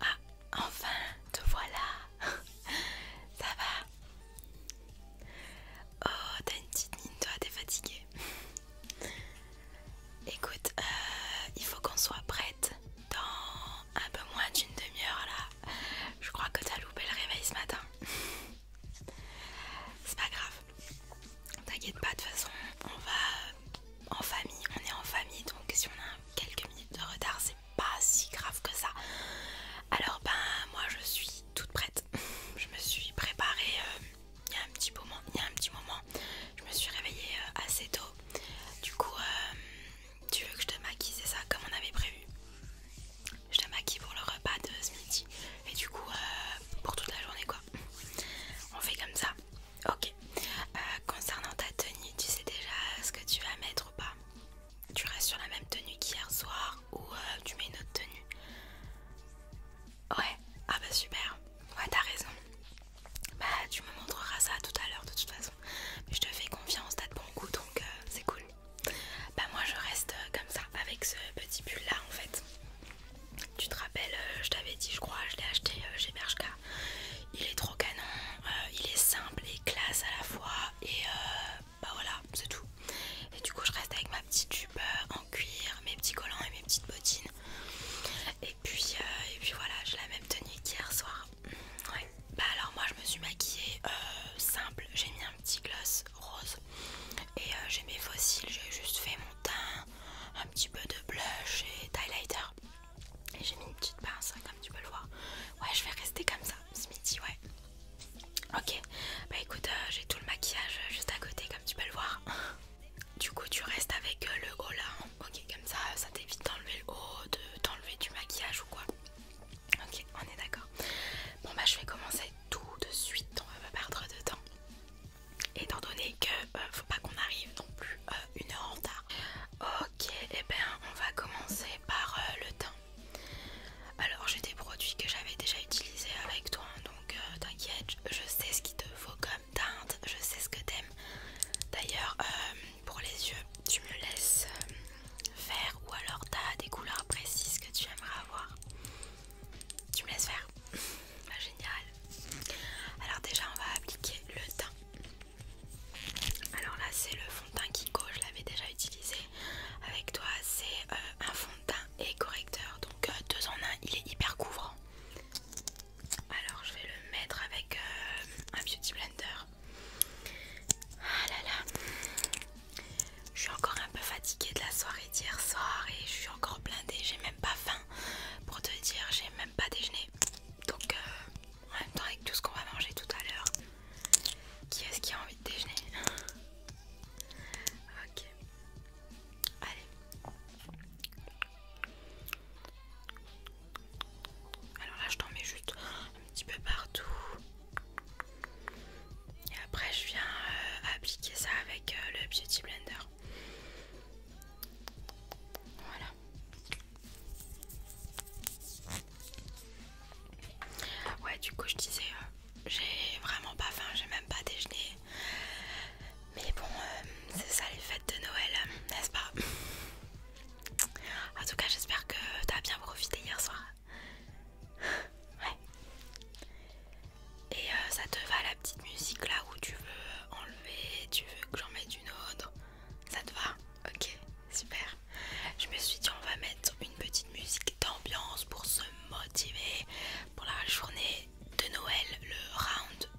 Ah, enfin, te voilà. Ça va Oh, t'as une petite mine, toi, t'es fatiguée. Écoute, euh, il faut qu'on soit prête dans un peu moins d'une demi-heure là. Je crois que t'as loupé le réveil ce matin. C'est pas grave. T'inquiète pas, de toute façon, on va en famille, on est en famille, donc si on a quelques minutes de retard, c'est pas si grave que ça. Alors ben moi je suis toute prête. Je me suis préparée euh, il y a un petit moment, il un petit moment. Je me suis réveillée euh, assez tôt. Du coup, euh, tu veux que je te maquille, c'est ça, comme on avait prévu. Je te maquille pour le repas de ce midi et du coup pour toute la journée quoi. On fait comme ça. Ok. Euh, concernant ta tenue, tu sais déjà ce que tu vas mettre ou pas Tu restes sur la même tenue qu'hier soir ou euh, tu mets une autre tenue Ouais. Ah bah super. Ouais, t'as raison. Bah tu me montreras ça tout à l'heure de toute façon. je te fais confiance, t'as de bon goût donc euh, c'est cool. Bah moi je reste comme ça avec ce petit pull là en fait. Tu te rappelles, euh, je t'avais dit, je crois, je l'ai acheté euh, chez Bershka. Il est trop canon, euh, il est simple et classe à la fois. Et bah voilà, c'est tout. Et du coup, je reste avec ma petite jupe en cuir, mes petits collants et mes petites bottines. Et puis, et puis voilà, j'ai la même tenue qu'hier soir. Bah alors moi, je me suis maquillée simple. J'ai mis un petit gloss rose et j'ai mes fossiles. J'ai juste fait mon teint, un petit peu de blush et d'highlighter. Et j'ai mis une petite pince, hein, comme tu peux le voir. Ouais, je vais rester comme ça ce ouais. Ok, bah écoute, euh, j'ai tout le maquillage juste à côté, comme tu peux le voir. Du coup, tu restes avec euh, le haut là. Hein. Ok, comme ça, ça t'évite d'enlever le haut, de t'enlever du maquillage ou quoi. Ok, on est d'accord. Bon, bah je vais commencer tout de suite, on va pas perdre de temps étant donné que euh, faut pas qu'on arrive non plus euh, une heure en retard. Ok, et eh ben bien on va commencer par euh, le teint. Alors j'ai des produits que j'avais déjà utilisés avec toi, hein, donc t'inquiète, je sais ce qu'il te faut comme teinte, je sais ce que t'aimes. D'ailleurs, pour les yeux, tu me laisses faire ou alors tu as des couleurs précises que tu aimerais avoir. Tu me laisses faire Génial. Alors déjà on va appliquer le teint. Alors là c'est le fond de teint Kiko, je l'avais déjà utilisé avec toi. C'est euh, un fond de teint et correcteur. Donc euh, deux en un, il est hyper couvrant. Alors je vais le mettre avec euh, un beauty blender. Ah là là, je suis encore un peu fatiguée de la soirée hier soir et je suis encore blindée, j'ai même pas faim. Pour te dire, j'ai même pas déjeuné. Donc euh, en même temps avec tout ce qu'on va manger tout à l'heure, qui est-ce qui a envie de déjeuner Ok. Allez. Alors là je t'en mets juste un petit peu partout. Et après je viens euh, appliquer ça avec euh, le Beauty Blender. Voilà. Ouais, du coup, je disais, euh, j'ai vraiment pas faim, j'ai même pas déjeuné. Mais bon, euh, c'est ça les fêtes de Noël, n'est-ce pas En tout cas, j'espère que t'as bien profité hier soir. ouais. Et euh, ça te va la petite musique là où tu veux enlever, tu veux que j'en mette une autre. Ça te va Ok, super. Je me suis dit on va mettre une petite musique d'ambiance pour se motiver pour la journée de Noël, le round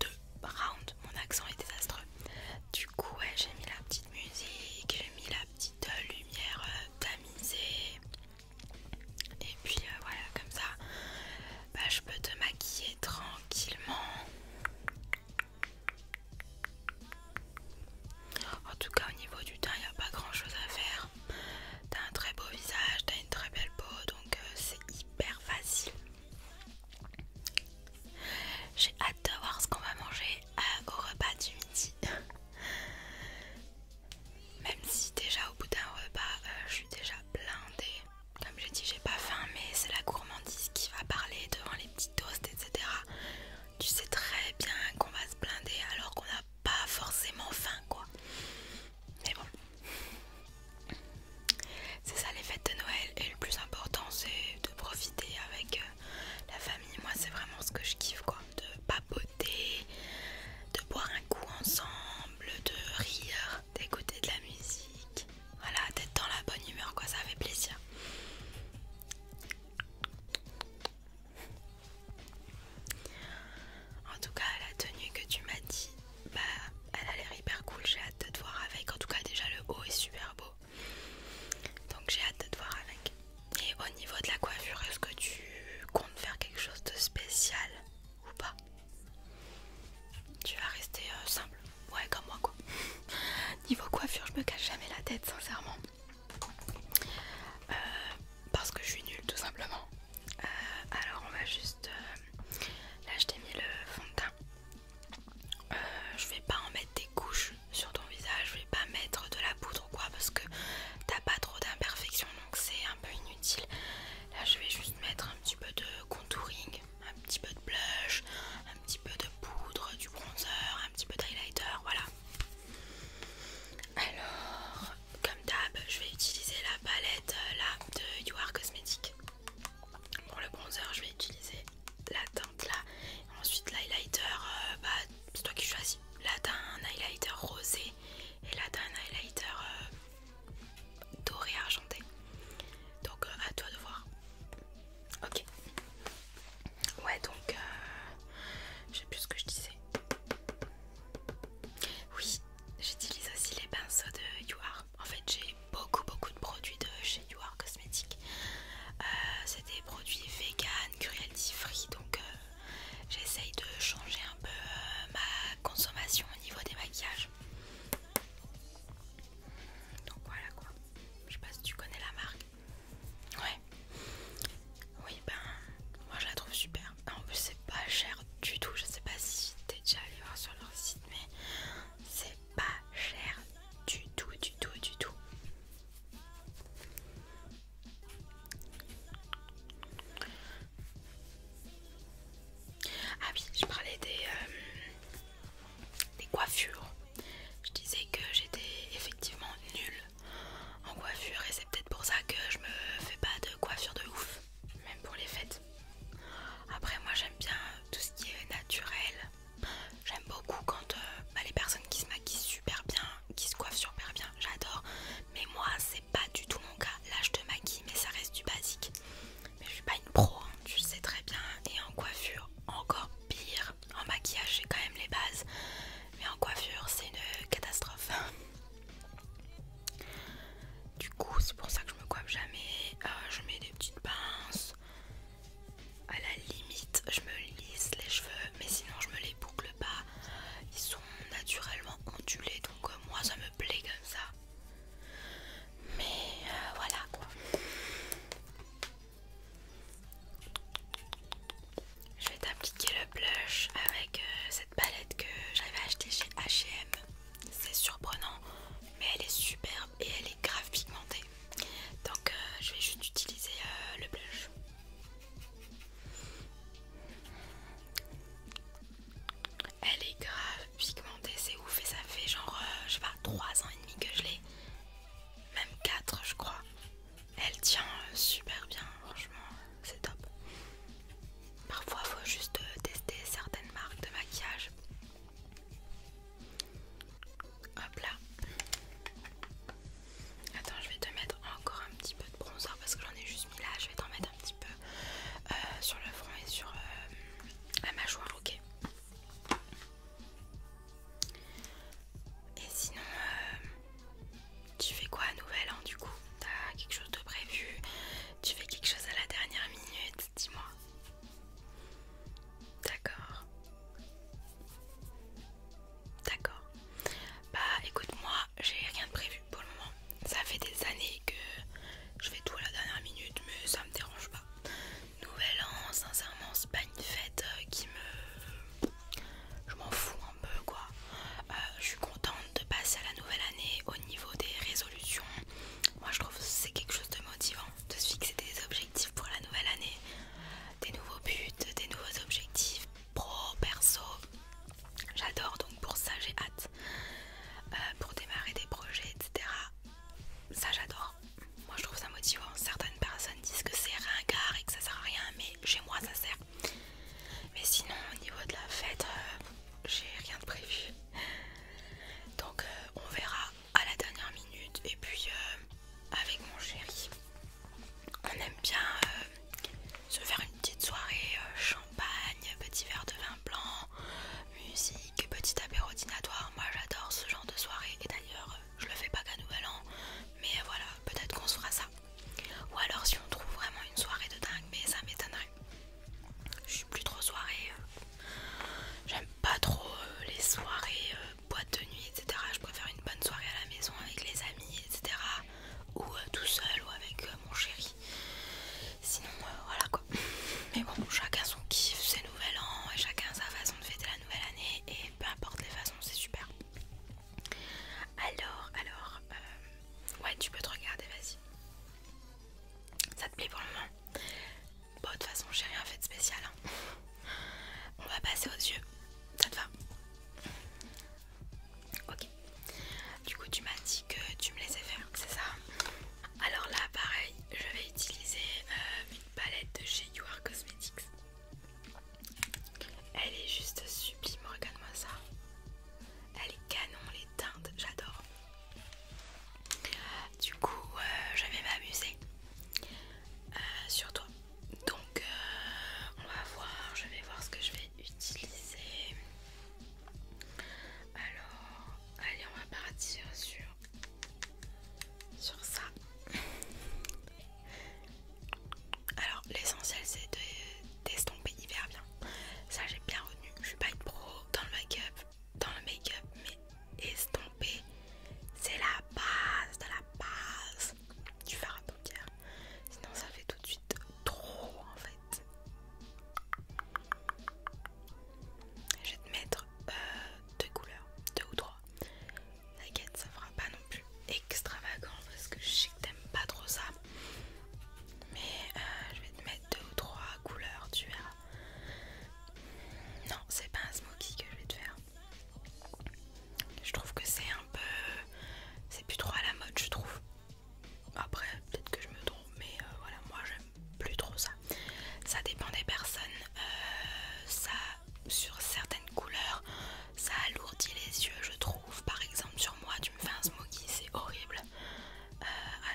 2. Round, mon accent est désastreux. Du coup, j'ai mis la petite musique, j'ai mis la petite lumière euh, tamisée. Et puis euh, voilà, comme ça, bah, je peux te maquiller tranquillement. En tout cas, au niveau du teint, il n'y a pas grand chose à faire. T'as un très beau visage, t'as une très belle peau, donc euh, c'est hyper facile. J'ai hâte de voir ce qu'on va manger euh, au repas du midi. Même si déjà au bout d'un repas, euh, je suis déjà blindée. Comme j'ai dit, j'ai pas faim, mais c'est la gourmandise qui va parler devant les petits toasts, etc. Tu sais très bien qu'on va se blinder alors qu'on n'a pas forcément faim, quoi. Mais bon, c'est ça les fêtes de Noël. Et le plus important, c'est de profiter avec euh, la famille. Moi, c'est vraiment ce que je kiffe, quoi. De papoter, de boire un coup ensemble, de rire d'écouter de la musique, voilà, d'être dans la bonne humeur, quoi, ça fait plaisir. En tout cas, la tenue que tu m'as dit, bah, elle a l'air hyper cool, j'ai hâte de te voir avec. En tout cas, déjà le haut est super beau. Donc j'ai hâte de te voir avec. Et au niveau de la coiffure, est-ce que tu comptes faire quelque chose de spécial ou pas Tu vas rester euh, simple, ouais comme moi quoi. Niveau coiffure, je me cache jamais la tête sincèrement. Euh, parce que je suis nulle tout simplement. Euh, alors on va juste... là je t'ai mis le fond de teint. je vais pas en mettre des couches sur ton visage, je vais pas mettre de la poudre ou quoi parce que t'as pas trop d'imperfections donc c'est un peu inutile. Là, je vais juste mettre un petit peu de contouring, un petit peu de blush, un petit peu de poudre, du bronzer, un petit peu d'highlighter. Voilà. Alors, comme d'hab, je vais utiliser la palette euh, là de You Are Pour le bronzer, je vais utiliser la teinte là. Ensuite, l'highlighter, euh, bah, c'est toi qui choisis. Là, t'as un highlighter rosé et là t'as un highlighter doré argenté donc euh, à toi de voir ok ouais donc j'ai euh, je sais plus ce que je disais oui j'utilise aussi les pinceaux de Are. en fait j'ai beaucoup beaucoup de produits de chez Yuar Cosmetics euh, c'est des produits vegan, cruelty free donc j'essaye de changer un peu ma consommation au niveau des maquillages donc voilà quoi. Je sais pas si tu connais la marque. Ouais. Oui ben moi je la trouve super. En plus c'est pas cher du tout. Je sais pas si t'es déjà allé voir sur leur site mais c'est pas cher du tout du tout du tout. Ah oui, je parlais euh, des, coiffures. Je disais que j'étais effectivement nulle en coiffure et c'est peut-être pour ça que je me fais pas de coiffure de ouf, même pour les fêtes. Après moi j'aime bien tout ce qui est naturel. J'aime beaucoup quand euh, bah, les personnes qui se maquillent super bien, qui se coiffent super bien, j'adore. Mais moi c'est pas du tout mon cas. Là je te maquille mais ça reste du basique. Mais je suis pas une pro, hein, tu le sais très bien. Et en coiffure, encore pire. En maquillage, j'ai quand même les bases. Mais en coiffure, c'est une catastrophe. Du coup, c'est pour ça que je me coiffe jamais. Euh, je mets des petites pinces. À la limite, je me lisse les cheveux, mais sinon, je me les boucle pas. Ils sont naturellement ondulés, donc euh, moi, ça me plaît comme ça. Mais euh, voilà quoi. Je vais t'appliquer le blush avec euh, cette palette que j'avais achetée chez H&M. C'est surprenant, mais elle est superbe et elle est grave pigmentée. Donc euh, je vais juste utiliser le blush. Elle est grave pigmentée c'est ouf et ça fait genre, euh, je sais pas, 3 ans et demi que je l'ai, même 4 je crois. Elle tient euh, super bien, franchement, euh, c'est top. Parfois, faut juste tester certaines marques de maquillage. Hop là. Attends, je vais te mettre encore un petit peu de bronzer parce que j'en ai juste mis là. Je vais t'en mettre petit peu euh, sur le front et sur euh, la mâchoire, ok. Et sinon, euh, tu fais quoi à Nouvel An hein, du coup T'as quelque chose de prévu Tu fais quelque chose à la dernière minute Dis-moi. D'accord. D'accord. Bah écoute, moi j'ai rien de prévu pour le moment. Ça fait des années que je fais tout à la dernière minute, mais ça me dérange pas. Nouvel an, sincèrement, c'est pas une fête euh, qui me. Je m'en fous un peu quoi. Euh, je suis contente de passer à la nouvelle année au niveau des résolutions. Moi je trouve que c'est quelque chose de motivant de se fixer des objectifs pour la nouvelle année, des nouveaux buts, des nouveaux objectifs pro, perso. J'adore donc pour ça j'ai hâte euh, pour démarrer des projets etc. Ça j'adore. Moi je trouve ça motivant. Certaines personnes disent que c'est ringard et que ça sert à rien mais chez moi ça sert. Mais sinon au niveau de la fête euh, j'ai rien de prévu. Donc euh, on verra à la dernière minute et puis avec mon chéri on aime bien se faire une petite soirée petit verre de vin blanc, musique, petit apéro Moi j'adore ce genre de soirée et d'ailleurs je le fais pas qu'à Nouvel An, mais voilà, peut-être qu'on se fera ça. Ou alors si on trouve vraiment une soirée de dingue, mais ça m'étonnerait. Je suis plus trop soirée, euh, j'aime pas trop euh, les soirées euh, boîte de nuit, etc. Je préfère une bonne soirée à la maison avec les amis, etc. Ou tout seul ou avec mon chéri. Sinon, euh, voilà quoi. Mais bon, chacun son kiff, ses nouvel an et chacun sa façon de fêter la nouvelle année. Et peu importe les façons, c'est super. Alors, alors, euh, ouais, tu peux te regarder, vas-y. Ça te plaît pour le moment Bon, de toute façon, j'ai rien fait de spécial. Hein. On va passer aux yeux. Ça te va Ok. Du coup tu m'as dit que tu me laissais faire, c'est ça Alors là pareil, je vais utiliser euh, une palette de chez You Cosmetics. Elle est juste sublime, regarde-moi ça. Elle est canon, les teintes, j'adore. Du coup, euh, je vais m'amuser euh, sur toi. Donc, on va voir, je vais voir ce que je vais utiliser. Alors, allez, on va partir sur, sur ça. Alors, l'essentiel c'est d'estomper hyper bien. Ça, j'ai bien retenu. Je suis pas une pro dans le make-up, dans le make-up, mais estomper, c'est la base de la base du fard à paupières. Sinon, ça fait tout de suite trop en fait. Je vais te mettre euh, deux couleurs, deux ou trois. T'inquiète, ça fera pas non plus extravagant parce que je sais que t'aimes pas trop ça. Mais euh, je vais te mettre deux ou trois couleurs, tu verras. Non, c'est pas un smoky que je vais te faire. Je trouve que c'est un peu. C'est plus trop à la mode, je trouve. Après, peut-être que je me trompe, mais euh, voilà, moi j'aime plus trop ça. Ça dépend des personnes. Euh, ça, sur certaines couleurs, ça alourdit les yeux, je trouve. Par exemple, sur moi, tu me fais un smoky, c'est horrible. Euh,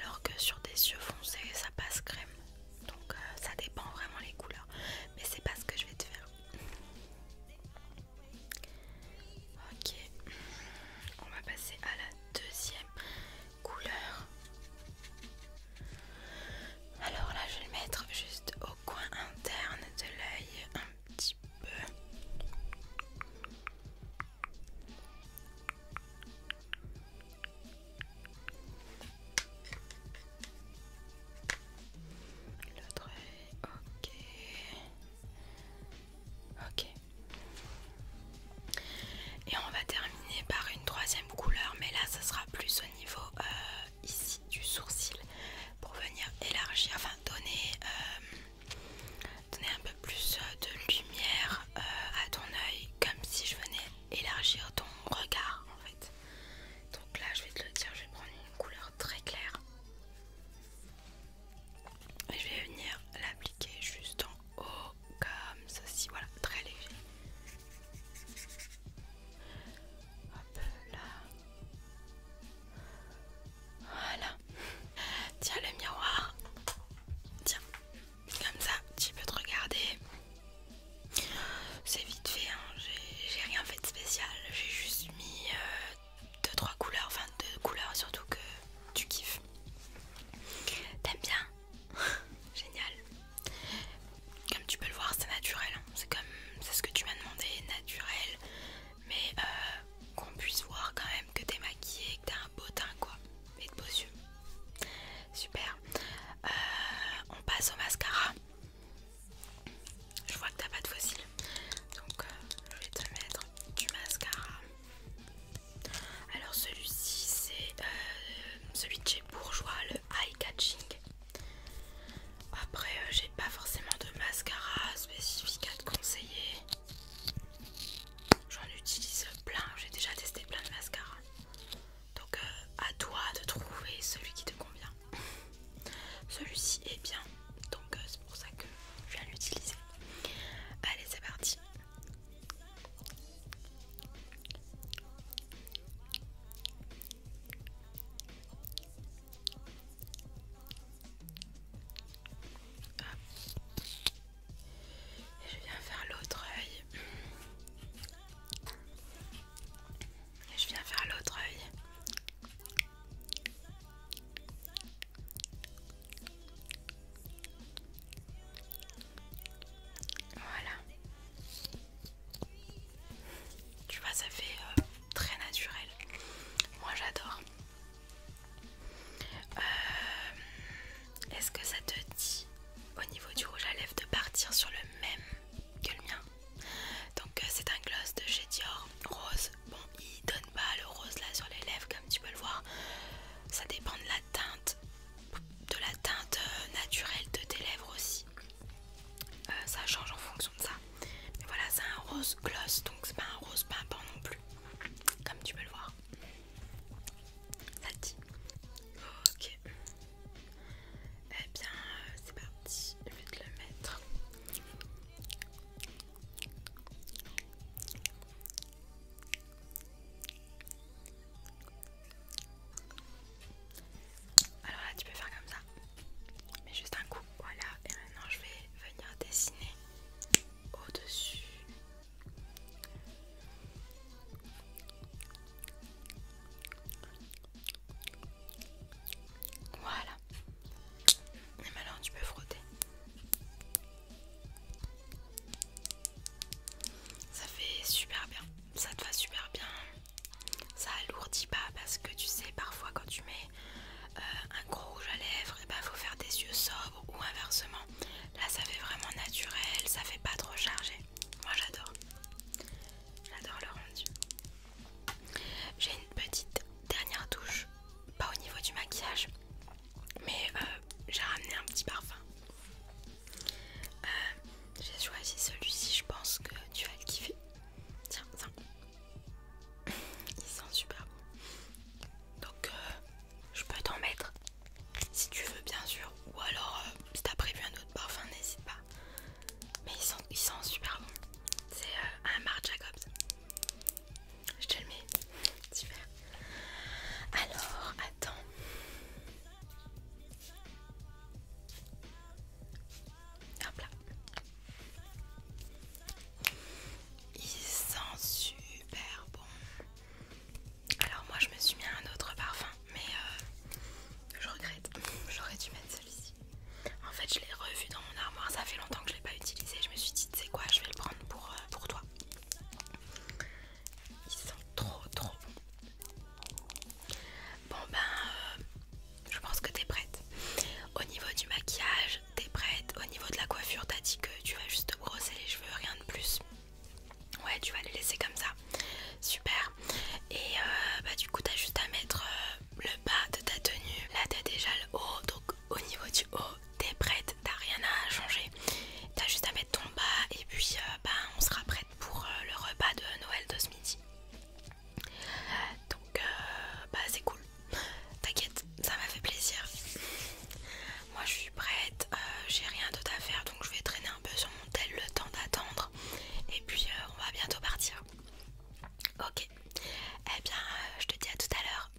alors que sur des yeux foncés, ça passe crème. Donc, ça dépend vraiment les couleurs. Mais c'est pas ce que je vais te faire. Ok, on va passer à la deuxième couleur. Alors là, je vais le mettre juste au coin interne de l'œil un petit peu. L'autre œil, ok. Ok. Et on va terminer par une troisième couleur, mais là ça sera plus au niveau euh, ici du sourcil pour venir élargir, enfin donner, euh, donner un peu plus euh, de lumière à ton oeil comme si je venais élargir ton regard en fait. Donc là je vais te le dire, je vais prendre une couleur très claire. Et je vais venir l'appliquer juste en haut, comme ceci, voilà, très léger. Hop là. Voilà. Tiens le miroir. Tiens. Comme ça, tu peux te regarder. C'est vite fait, hein. j'ai rien fait de spécial. J'ai juste mis 2-3 euh, couleurs, enfin 2 couleurs surtout que tu kiffes. T'aimes bien Génial. Comme tu peux le voir, c'est naturel. Hein. C'est comme c'est ce que tu m'as demandé, naturel. Mais euh, qu'on puisse voir quand même que t'es maquillée, que t'as un beau teint quoi. Et de beaux yeux. Super. Euh, on passe au mascara. Je vois que t'as pas de fossiles. Donc euh, je vais te mettre du mascara. Alors celui-ci c'est euh, celui de chez Bourgeois, le Eye Catching. Après euh, j'ai pas forcément de mascara spécifique à te conseiller. J'en utilise plein, j'ai déjà testé plein de mascaras. Donc euh, à toi de trouver celui qui te convient. Celui-ci est bien, donc c'est pour ça que je viens l'utiliser. Allez c'est parti et je viens faire l'autre œil. Et je viens faire l'autre œil. Voilà. Tu vois, ça fait euh, très naturel. Moi, j'adore. Euh, est-ce que ça te dit au niveau du rouge à lèvres de partir sur le même que le mien Donc, euh, c'est un gloss de chez Dior rose. Bon, il donne pas le rose là sur les lèvres, comme tu peux le voir ça dépend de la teinte de la teinte euh, naturelle de tes lèvres aussi euh, ça change en fonction de ça mais voilà c'est un rose gloss donc c'est pas un rose pimpant non plus comme tu peux le voir ça dit ok eh bien euh, c'est parti je vais te le mettre alors là tu peux faire comme ça, mais juste un coup, voilà, et maintenant je vais venir dessiner au-dessus. Voilà. Et maintenant tu peux frotter. Ça fait super bien, ça te va super bien. Ça alourdit pas parce que tu sais, parfois quand tu mets euh, un gros rouge à lèvres, et eh ben, faut faire des yeux sobres ou inversement. Là, ça fait vraiment naturel, ça fait pas trop chargé. Moi j'adore, j'adore le rendu. J'ai une petite dernière touche, pas au niveau du maquillage, mais euh, j'ai ramené un petit parfum. Euh, j'ai choisi celui-ci, je pense que tu vas le kiffer. Tiens, tiens. Il sent super bon. Donc, euh, je peux t'en mettre si tu veux, bien sûr. Ou alors, si t'as prévu un autre parfum, n'hésite pas. Mais il sent, super bon. C'est un Marc Jacobs. Je te le mets. Super. Alors, attends. Hop là. Il sent super bon. Alors moi je me suis mis un autre parfum, mais euh, je regrette. J'aurais dû mettre celui-ci. En fait je l'ai revu dans mon armoire, ça fait longtemps que je l'ai pas utilisé. Je me suis dit, tu sais quoi, je vais le prendre pour, euh, pour toi. Ils sont trop trop bons. Bon ben, euh, je pense que t'es prête. Au niveau du maquillage, t'es prête. Au niveau de la coiffure, t'as dit que tu vas juste brosser les cheveux, rien de plus. Ouais, tu vas les laisser comme ça. Super. Et euh, bah du coup, t'as juste à mettre euh, le bas de ta tenue. Là, t'as déjà le haut, donc au niveau du haut t'es prête, t'as rien à changer T'as juste à mettre ton bas et puis euh, bah, on sera prête pour euh, le repas de Noël de ce midi Donc euh, bah, c'est cool T'inquiète, ça m'a fait plaisir Moi je suis prête, j'ai rien d'autre à faire donc je vais traîner un peu sur mon tel le temps d'attendre Et puis on va bientôt partir Ok, eh bien je te dis à tout à l'heure